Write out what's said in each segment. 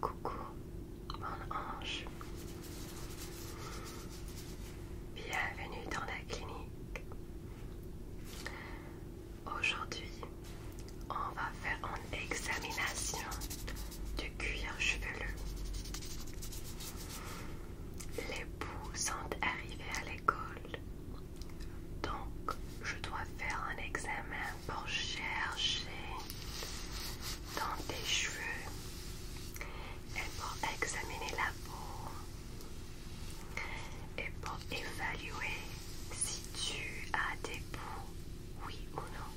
Coucou, mon ange. Bienvenue dans la clinique. Aujourd'hui, on va faire une examination du cuir chevelu. Les poux sont arrivés à l'école. Donc, je dois faire un examen pour chercher dans tes cheveux et pour examiner la peau et pour évaluer si tu as des bouts, oui ou non.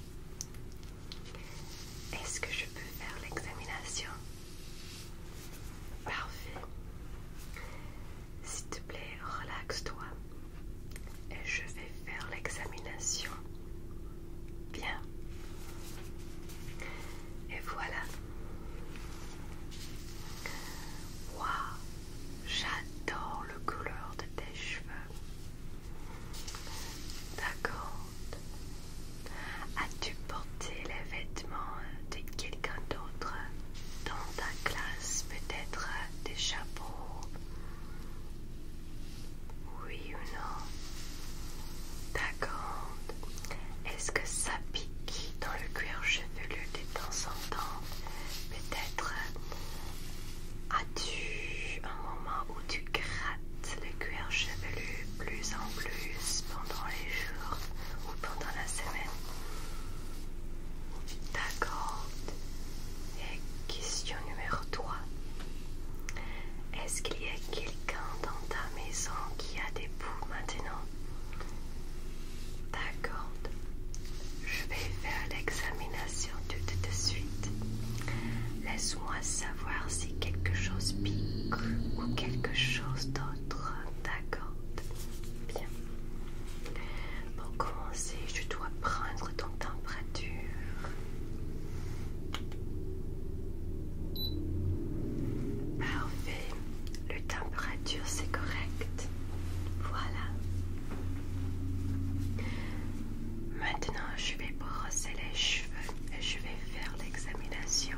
Est-ce que je peux faire l'examination Parfait. S'il te plaît, relaxe-toi et je vais faire l'examination. Bien. Et voilà. Waouh, j'adore le couleur de tes cheveux. D'accord. As-tu porté les vêtements de quelqu'un d'autre dans ta classe, peut-être des chapeaux, oui ou non D'accord. Est-ce que ça pique dans le cuir chevelu de temps en temps Peut-être as-tu un moment où tu grattes le cuir chevelu plus en plus pendant les jours ou pendant la semaine D'accord. Et question numéro 3. Est-ce qu'il y a quelqu'un dans ta maison qui a des poux maintenant D'accord. Je vais faire l'examination tout de suite. Laisse-moi savoir si quelque chose pique ou quelque chose d'autre. D'accord. Bien. Pour commencer, je dois prendre ton température. Parfait. Le température, c'est correct. Voilà. Maintenant, je vais brosser les cheveux et je vais faire l'examination.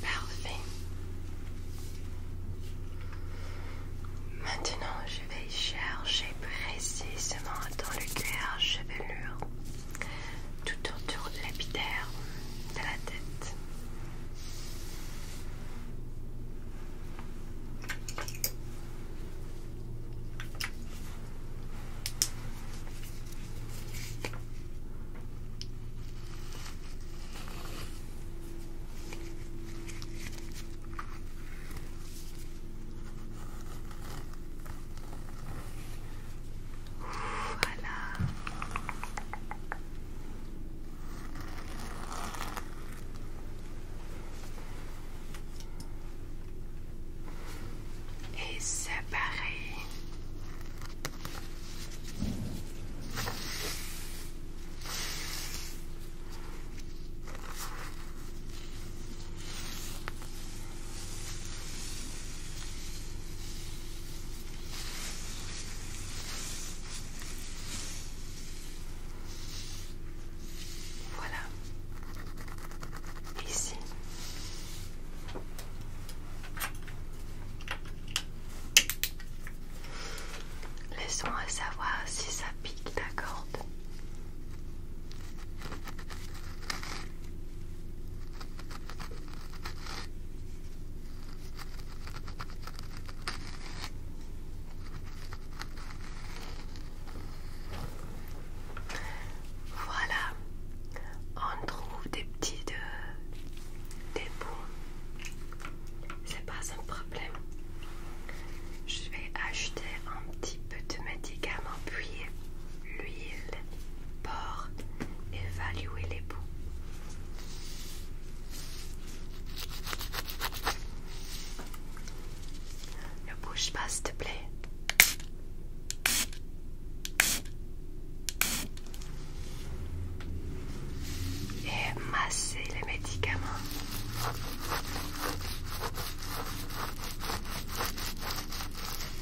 Parfait. Maintenant, je vais chercher précisément dans le cuir chevelure. Tout autour de lapidaire de la tête. Voilà. Et c'est pareil. Voilà. Ici. Laissons-moi savoir si ça pique d'accord voilà, on trouve des petits de, euh, des bons, c'est pas un problème. Je vais acheter un petit peu de médicaments puis l'huile, porc, évaluer les bouts. Ne bouge pas s'il te plaît. Et masser les médicaments.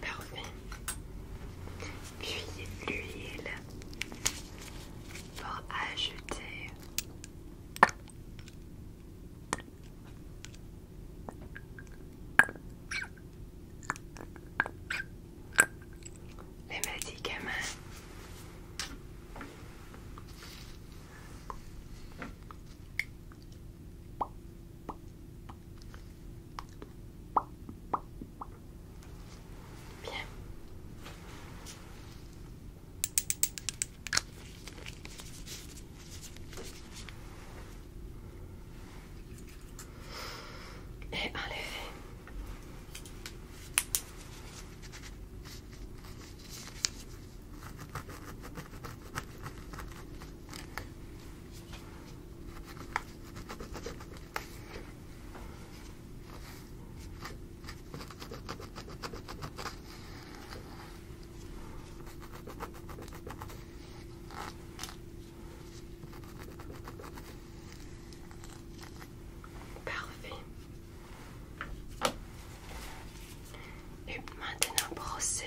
Parfait. Puis l'huile pour ajouter les médicaments. Bien. Et enlever. Parfait. Et maintenant, brossez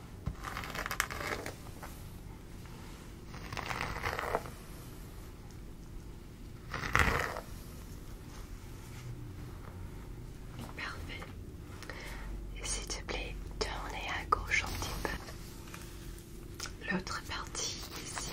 Parfait. Et s'il te plaît, tourne à gauche un petit peu. L'autre partie ici.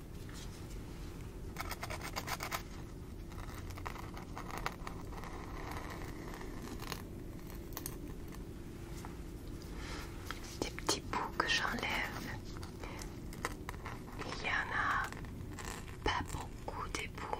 Des petits bouts que j'enlève. Il y en a pas beaucoup des bouts.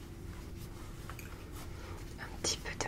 Un petit peu de main.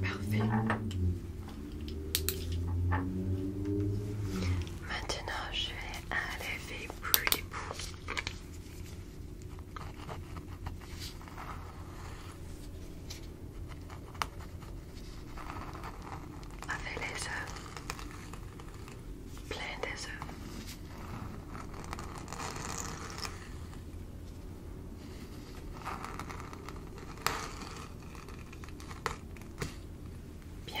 Parfait. Maintenant, je vais enlever plus les bouts avec les œufs, plein des œufs. Bien.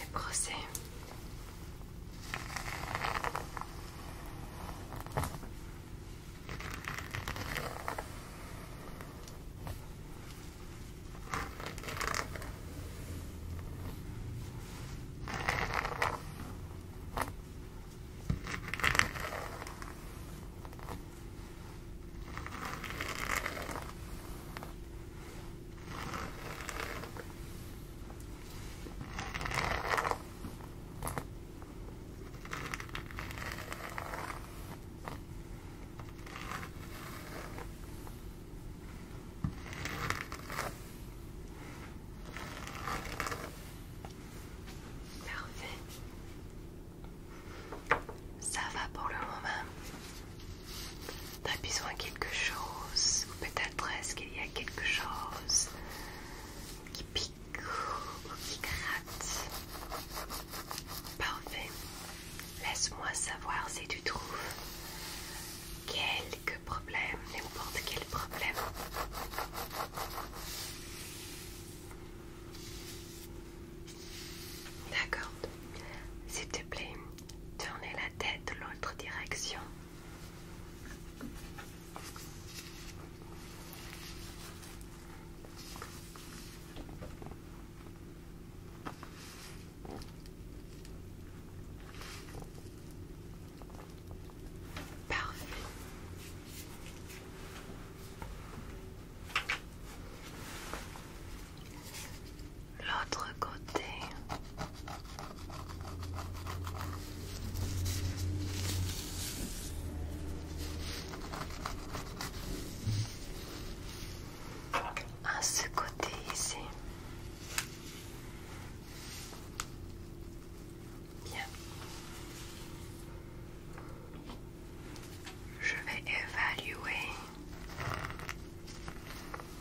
Les procès ça va pour le moment. T'as besoin de quelque chose, ou peut-être est-ce qu'il y a quelque chose qui pique ou qui gratte. Parfait. Laisse-moi savoir si tu trouves quelques problèmes, n'importe quel problème. D'accord. S'il te plaît, Tournez la tête l'autre direction. Parfait l'autre côté. À ce côté ici. Je vais évaluer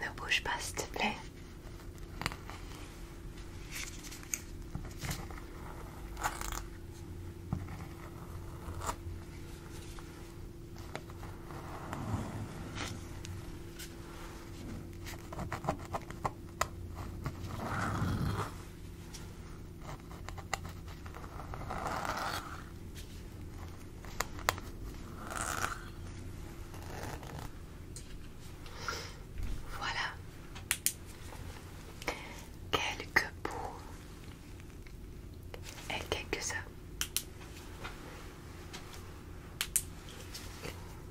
Ne bouge pas, s'il te plaît. Voilà quelques pots et quelques uns.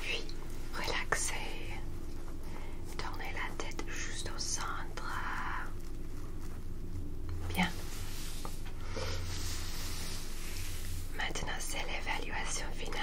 Puis relaxez, tournez la tête juste au centre. Bien. Maintenant, c'est l'évaluation finale.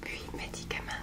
Puis médicament.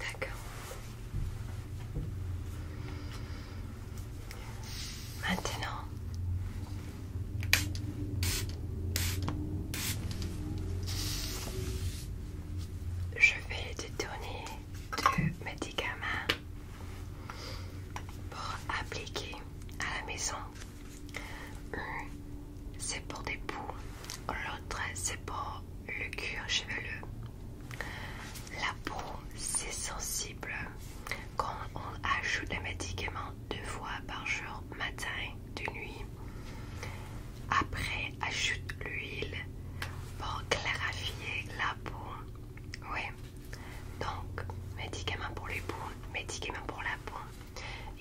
D'accord. Maintenant. Je vais te le médicament. médicaments pour appliquer à la maison. c'est pour des poux, l'autre c'est pour le cuir chevelu. La peau c'est sensible quand on ajoute des médicament deux fois par jour, matin, de nuit. Après ajoute l'huile pour clarifier la peau. Oui. Donc, médicaments pour les bouts, médicaments pour la peau.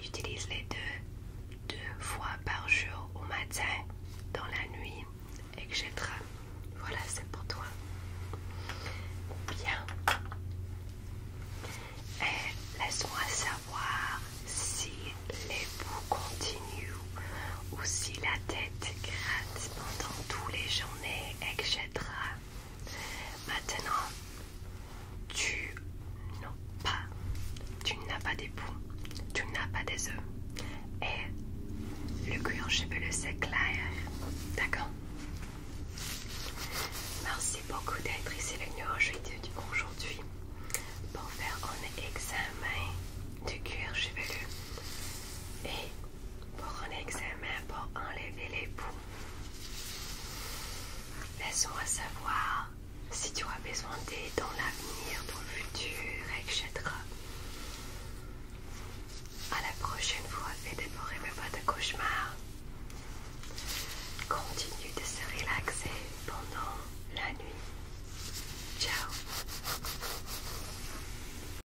utilise les deux, deux fois par jour au matin, dans la nuit, etc. Voilà, c'est pour toi. Bien. Et laisse-moi savoir si les bouts continuent ou si la tête gratte pendant toutes les journées etc. Maintenant, tu n'as pas, tu n'as pas des poux, tu n'as pas des œufs et le cuir chevelu c'est clair, d'accord Merci beaucoup d'être ici le nous aujourd'hui pour faire un examen du cuir chevelu et pour un examen pour enlever les poux. Laisse-moi savoir si tu as besoin d'aide dans l'avenir, dans le futur, etc. À la prochaine fois, fais dévorer mes pas de cauchemar. Continue de se relaxer pendant la nuit. Ciao